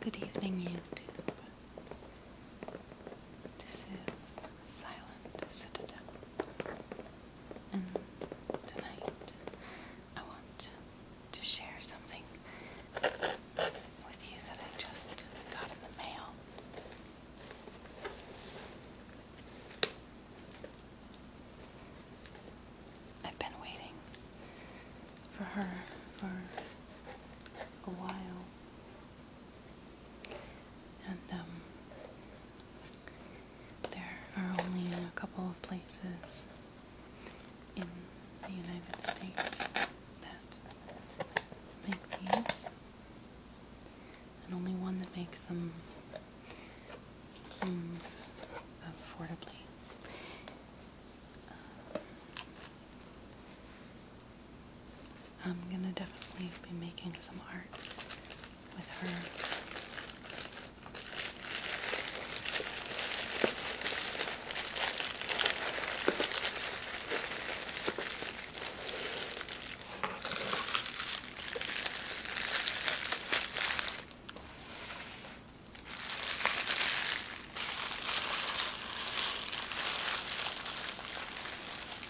Good evening, YouTube. This is Silent Citadel, and tonight I want to share something with you that I just got in the mail. I've been waiting for her for a while. And um, there are only a couple of places in the United States that make these and only one that makes them hmm, um, affordably. I'm gonna definitely be making some art with her.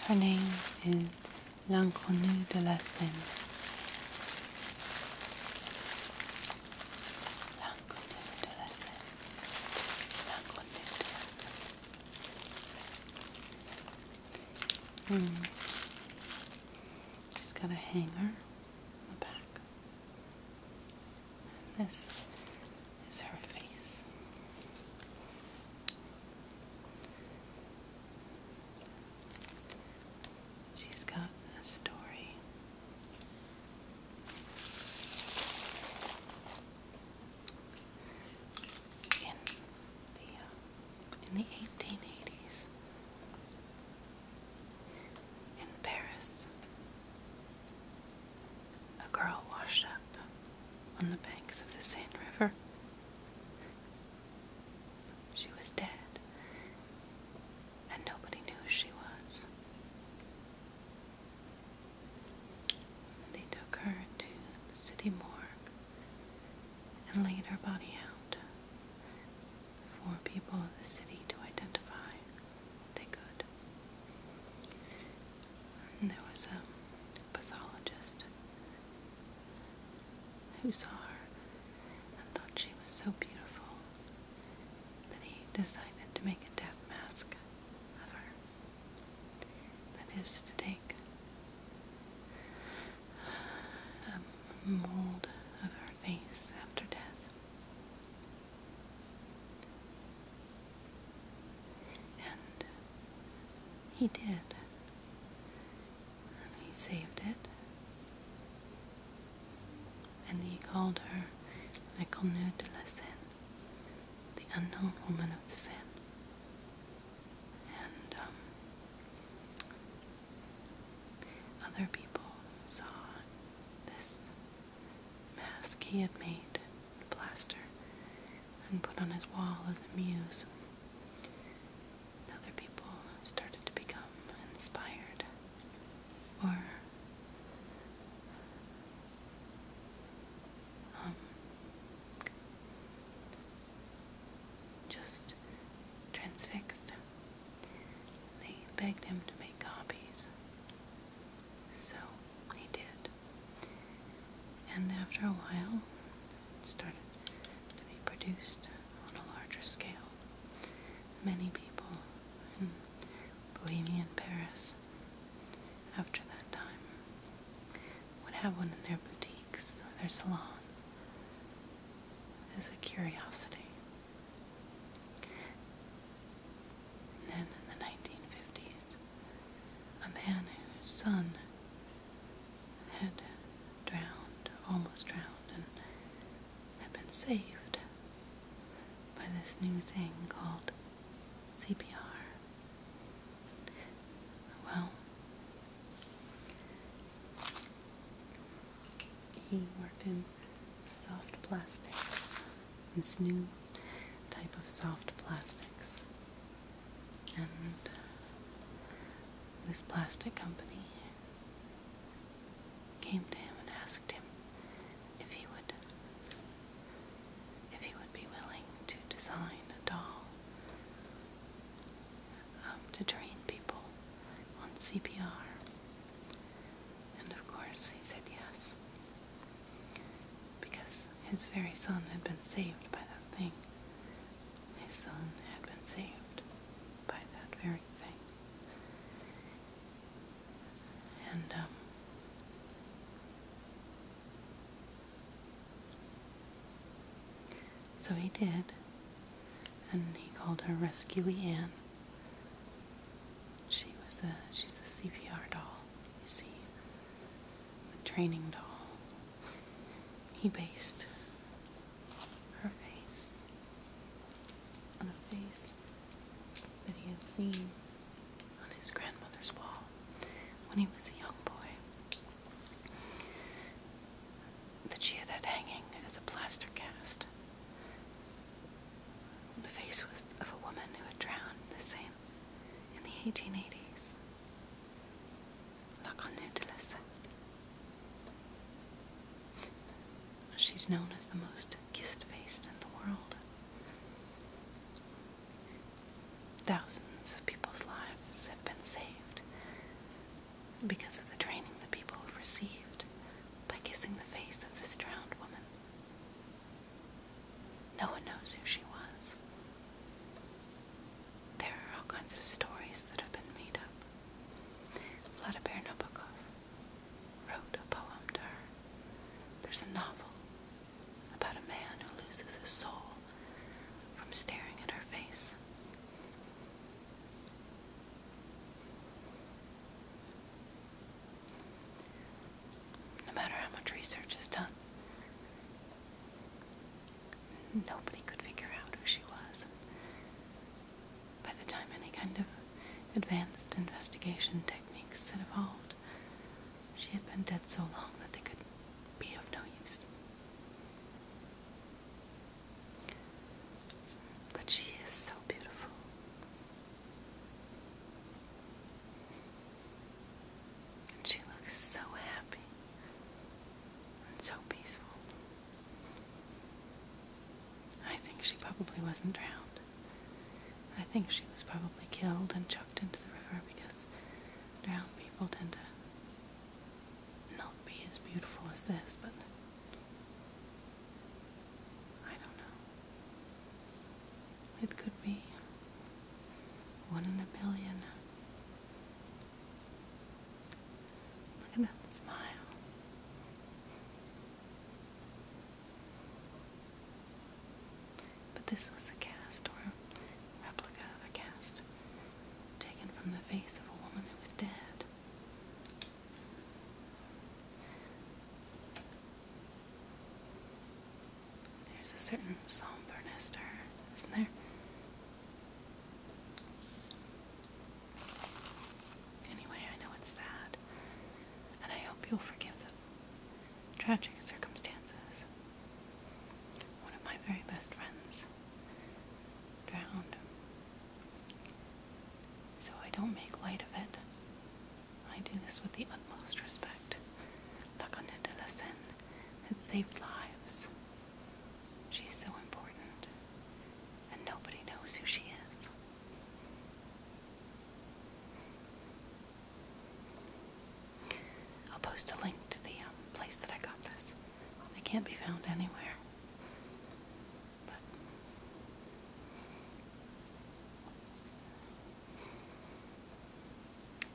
Her name is L'inconnue de la Seine. L'inconnue de la Seine. L'inconnue She's got a hanger on the back. this is her face. She's got a story. In the uh, in the 1880s in Paris. A girl washed up on the banks of the Seine River. She was dead, and nobody knew who she was. They took her to the city morgue and laid her body out for people of the city to identify. They could. And there was a pathologist who saw her and thought she was so beautiful that he decided to make a death mask of her. That is to take a mold of her face after death. And he did. And he saved it. And he called her L'inconnue de la Seine, the unknown woman of the Seine. Um, other people saw this mask he had made, plaster, and put on his wall as a muse. other people started to become inspired or um, just transfixed. They begged him to make copies. So he did. And after a while, it started to be produced on a larger scale. Many people in Bohemia and Paris after that time would have one in their boutique boutiques, their salons, is a curiosity. then in the 1950s, a man whose son had drowned, almost drowned, and had been saved by this new thing called CPR. Well, he worked in soft plastics, this new type of soft plastics. And uh, this plastic company came to him and asked him if he would if he would be willing to design a doll um, to train people on CPR. And of course, he said yes. Because his very son had been saved by that thing. His son had been saved by that very thing. And, um, so he did, and he called her Rescuey Ann. She was a she's a CPR doll, you see, a training doll. He based her face on a face that he had seen on his grandmother's wall when he was a young boy that she had had hanging as a plaster cast. The face was of a woman who had drowned the same in the 1880s. La She's known as the most kissed face in the world. Thousands of people's lives have been saved because of the training the people have received by kissing the face of this drowned woman. No one knows who she was. There are all kinds of stories that have been made up. Vladimir Nabokov wrote a poem to her. There's a novel about a man who loses his soul from staring at her face. No matter how much research is done, nobody could figure out who she was. By the time any kind of advanced investigation techniques had evolved, she had been dead so long that they could be of no use. But she is so beautiful. And she looks so happy and so peaceful. I think she probably wasn't drowned. I think she was probably killed and chucked into the river because drowned people tend to not be as beautiful as this, but I don't know. It could be one in a billion. Look at that smile. But this was a cast or replica of a cast taken from the face of a woman who was dead. There's a certain somberness to her, isn't there? Anyway, I know it's sad, and I hope you'll forgive them. Tragic circumstances one of my very best friends drowned. So I don't make light of it. I do this with the utmost respect. La Conette de la Seine has saved lives. She's so important, and nobody knows who she is. I'll post a link to the um, place that I got this. They can't be found anywhere. But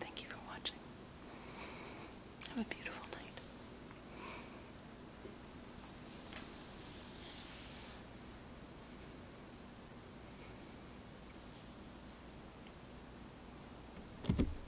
thank you for watching. Have a beautiful night.